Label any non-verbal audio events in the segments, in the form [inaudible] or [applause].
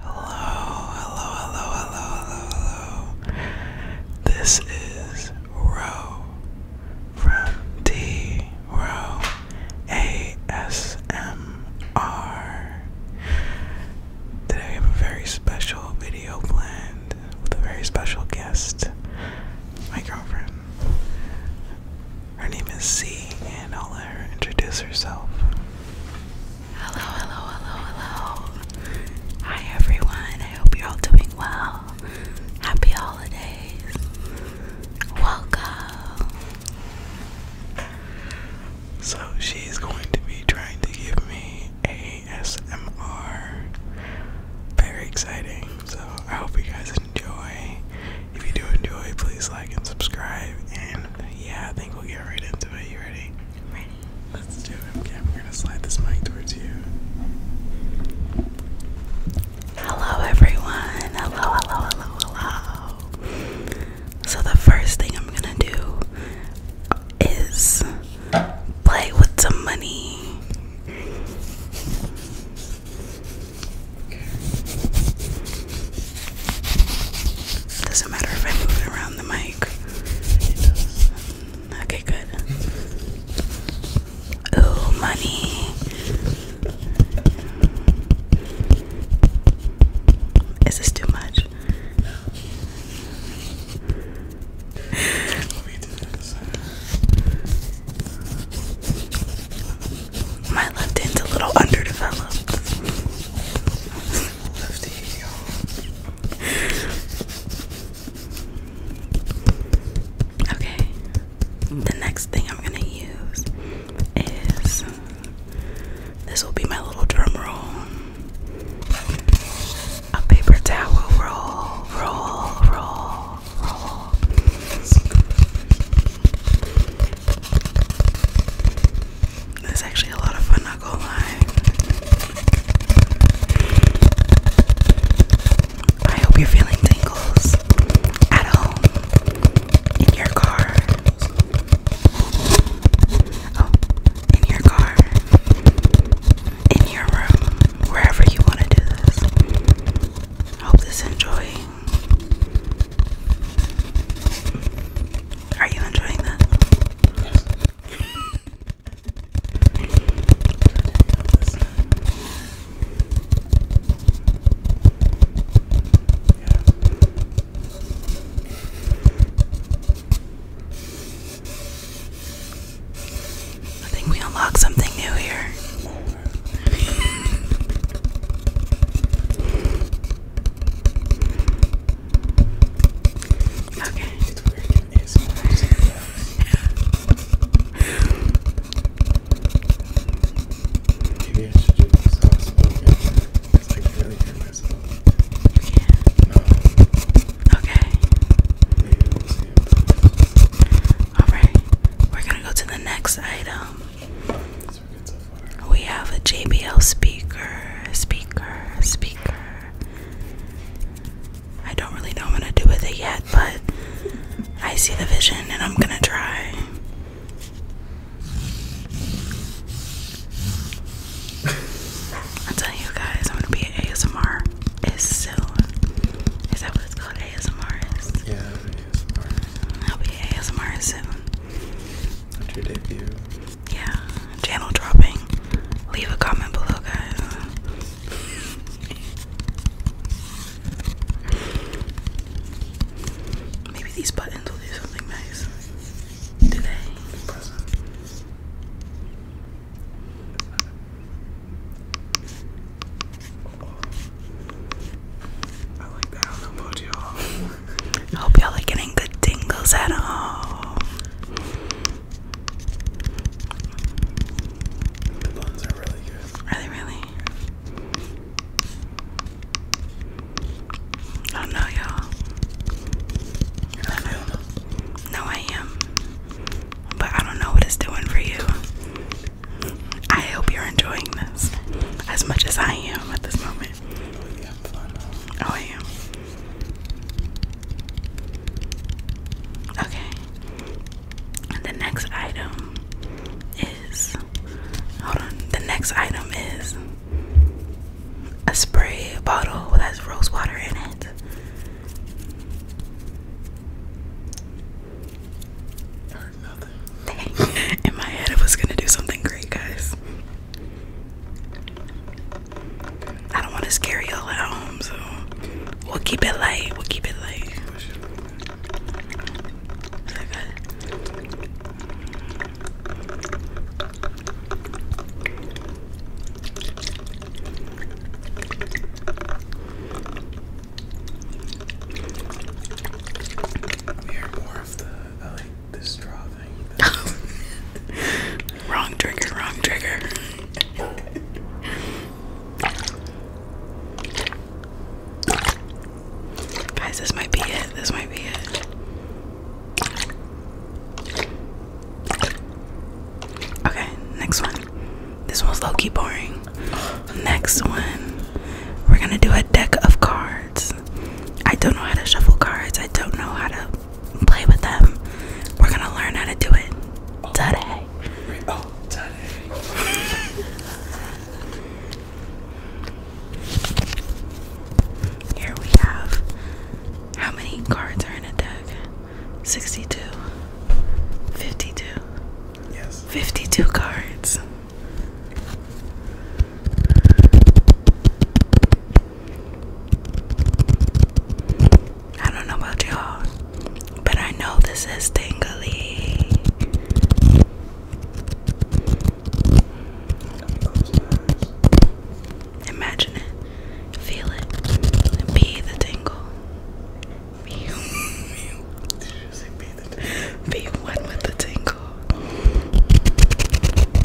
Hello, hello, hello, hello, hello, hello. This is Ro from D Ro ASMR. Today we have a very special video planned with a very special guest, my girlfriend. Her name is C, and I'll let her introduce herself. Hello, hello, hello, hello. Hi everyone. I hope you're all doing well. Happy holidays. Welcome. So she's going to be trying to give me a ASMR. Very exciting. So I hope you guys enjoy. If you do enjoy, please like and subscribe. And yeah, think we'll get right into it. You ready? ready. Let's do it. Okay, we're gonna slide this mic towards you. Hello, everyone. Hello, hello, hello, hello. So, the first thing I'm gonna do is play with some money. Okay. It doesn't matter if I move it around the mic. Okay, good. Ooh, money. Is this too much? My left hand's a little underdeveloped. Okay. The next thing I'm gonna use is this will be my little drum A paper towel roll, roll, roll, roll. That's actually a lot of fun, not gonna lie. I hope you're feeling tingles at home, in your car. Oh, in your car, in your room, wherever you want to do this. Hope this enjoy are you enjoying that? I think we unlocked something new here. Okay. Maybe I should do this outspoken. It's like really hear myself. You can No. Okay. Alright. We're gonna go to the next item we have a JBL speaker, speaker, speaker. I don't really know what I'm gonna do with it yet, but I see the vision and I'm gonna try. I'm telling you guys, I'm gonna be ASMR is soon. Is that what it's called? ASMR. I'll be ASMR soon. That's your debut. Yeah, channel dropping. Leave a comment below, guys. Maybe these buttons will do something nice. Do I like that. I Hope y'all are getting good tingles at home. The buns are really good. Are really? I don't know, y'all. No, I am. But I don't know what it's doing for you. I hope you're enjoying this as much as I am at this moment. Oh, I am. Okay. the next item is. Hold on. The next item is a spray bottle that has rose water in it. In my head, it was gonna do something great, guys. I don't want to scare y'all at home, so we'll keep it light. We'll keep it light. Uh, this [laughs] wrong trigger, wrong trigger. Guys, this might be it. This might be it. Okay, next one. This one's low key boring. Next one, we're gonna do a deck of cards. I don't know how to shuffle cards, I don't know how to play with them. We're gonna learn how to do it today. Oh, Here we have how many cards are in a deck? 62, 52. Yes. 52 cards. I don't know about y'all, but I know this is tingly. Imagine it, feel it, be the tingle. Be one with the tingle.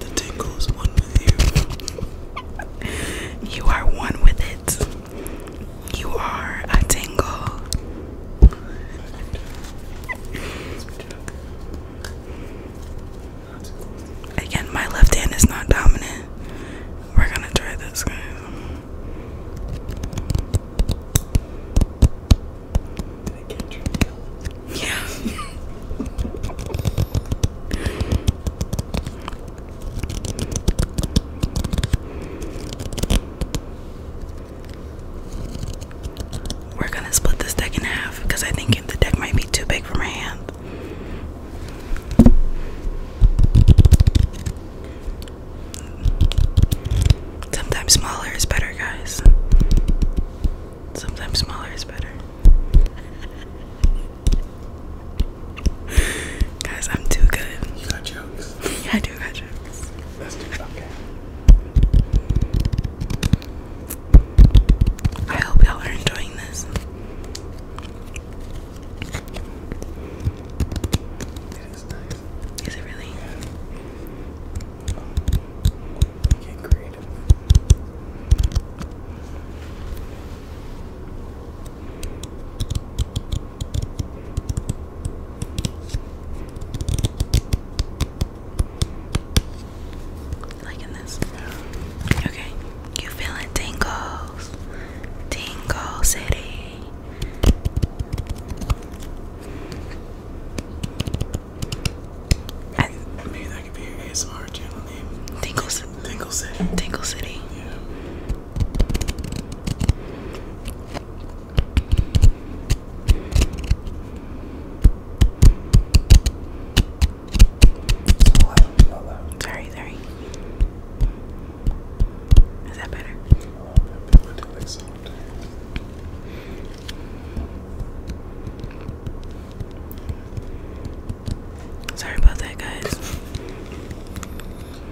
The tingle is one with you. [laughs] You are one with it. You are a tingle. Again, my left hand is not dominant. We're gonna try this, guys. Yeah. We're gonna split this deck in half because I think the deck might be too big for my hand. Sometimes smaller is better, guys. Sometimes smaller is better. [laughs] guys, I'm too good. You got jokes. [laughs] I do got jokes. Let's do okay. I hope y'all are enjoying this. It is nice. Is it really? Yeah. Um, get creative. Liking this? Okay. You feeling tingles? Tingle City. Maybe that could be your ASMR channel name. Tingle City. Tingle City. Tingle City. Yeah. Sorry, sorry. Is that better? Sorry about that, guys.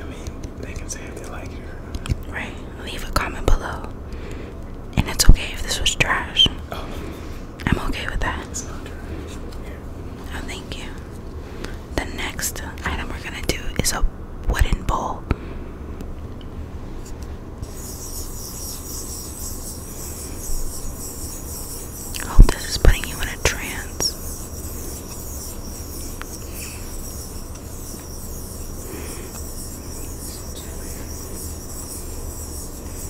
I mean, they can say if they like it Right. Leave a comment below. And it's okay if this was trash. Oh. I'm okay with that. Oh, thank you. The next item we're gonna do is a wooden bowl. Hope this is putting you in a trance.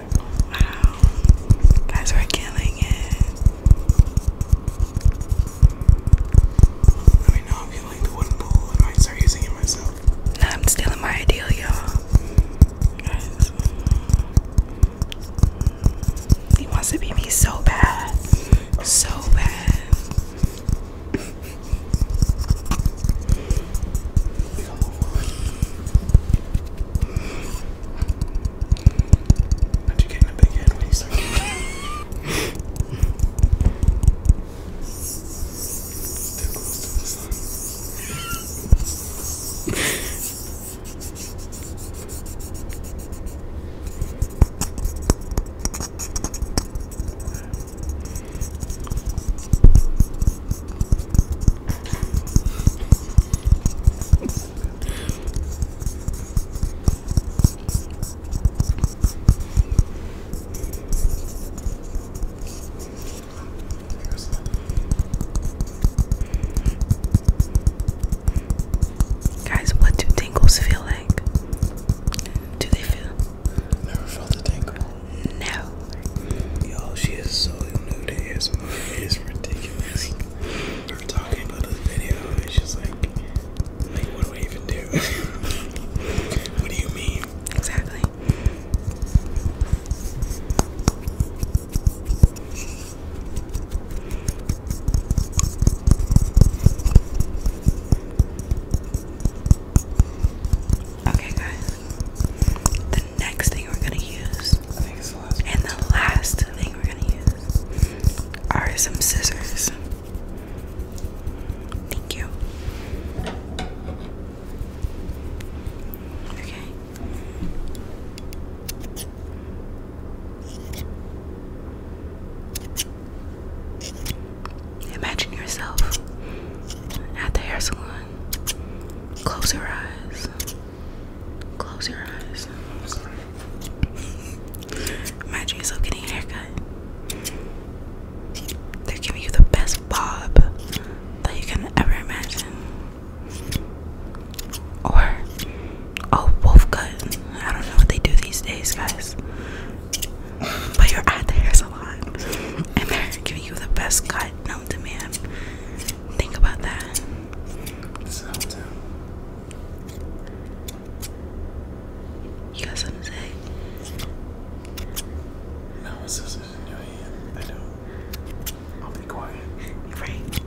Wow. Guys, we're killing it. Let me know if you like the wooden bowl and I start using it myself. I'm stealing my idea, y'all. He wants to be me so bad. So bad. [laughs] Aren't you getting a big head when you start Too close to the sun. Guys, what do tingles feel like? Do they feel? Never felt a tingle. No. Yo, she is so new It is ridiculous fucking busy talking about this video. It's just like, like what do I even do? [laughs] what do you mean? Exactly. Okay, guys. The next thing we're gonna use. Oh the And the last thing we're gonna use are some scissors. Thank you. Okay. Imagine yourself at the hair salon. Close your eyes. Close your eyes. I'm getting a haircut. They're giving you the best bob that you can ever imagine. Or oh wolf cut. I don't know what they do these days, guys. But you're at the hair salon and they're giving you the best cut known to Think about that. You got something to say? No, it's just in your hand. I do I'll be quiet. Right.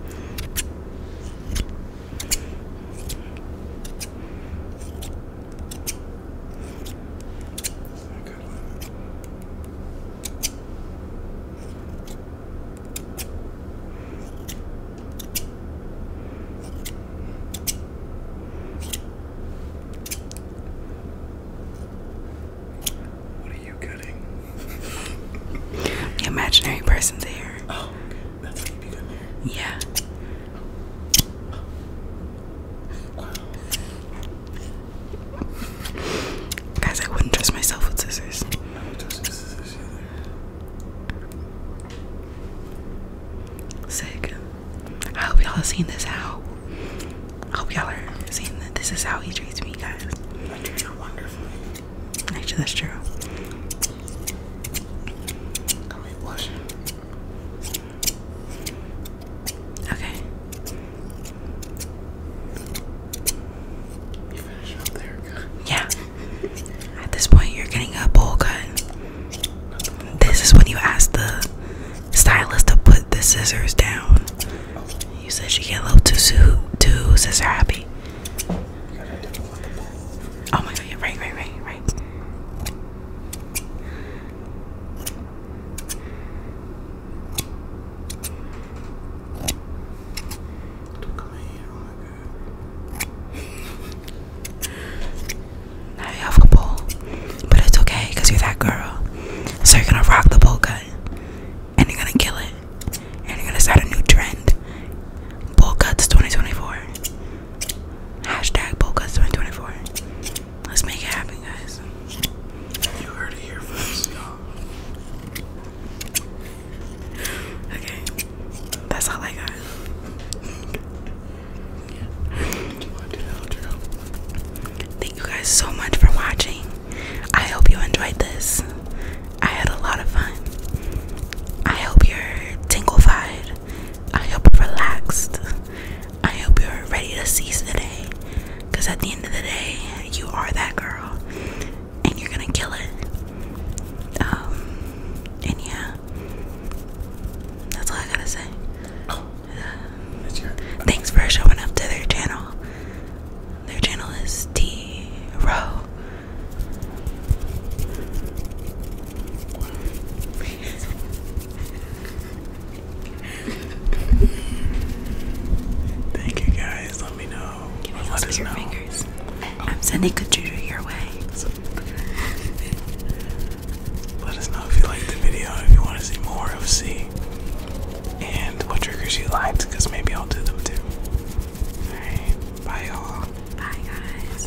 What are you getting? the imaginary person's here. Oh, that's what you getting Yeah. Guys, I wouldn't trust myself with scissors. I Sick. I hope y'all have seen this how. I hope y'all are seeing that this is how he treats me, guys. I treat her wonderfully. Actually, that's true. Okay. Yeah. At this point, you're getting a bowl cut. This is when you ask the stylist to put the scissors down. You said she get a little too too scissor happy. Oh my god! Yeah, right, right, right, right now you have a bowl, but it's okay because you're that girl. So you're gonna rock the bowl cut, and you're gonna kill it, and you're gonna start a new trend. Bowl cuts 2024. Hashtag bowl 2024. Let's make it happen, guys. You heard it here first, y'all. Okay, that's all I got. Thank you guys so much for watching. I hope you enjoyed this. I had a lot of fun. I hope you're tinglified. I hope you're relaxed. I hope you're ready to seize the day. Because at the end of the day, you are that girl. And you're going to kill it. Um, and yeah. That's all I gotta say. Oh. thanks for showing up to their channel. Their channel is T Row. [laughs] Thank you guys. Let me know. let us know. Oh. I'm sending good juju your way. let us know if you liked the video, if you want to see more of C, and what triggers you liked, because maybe I'll do them too. bye y'all. Bye guys.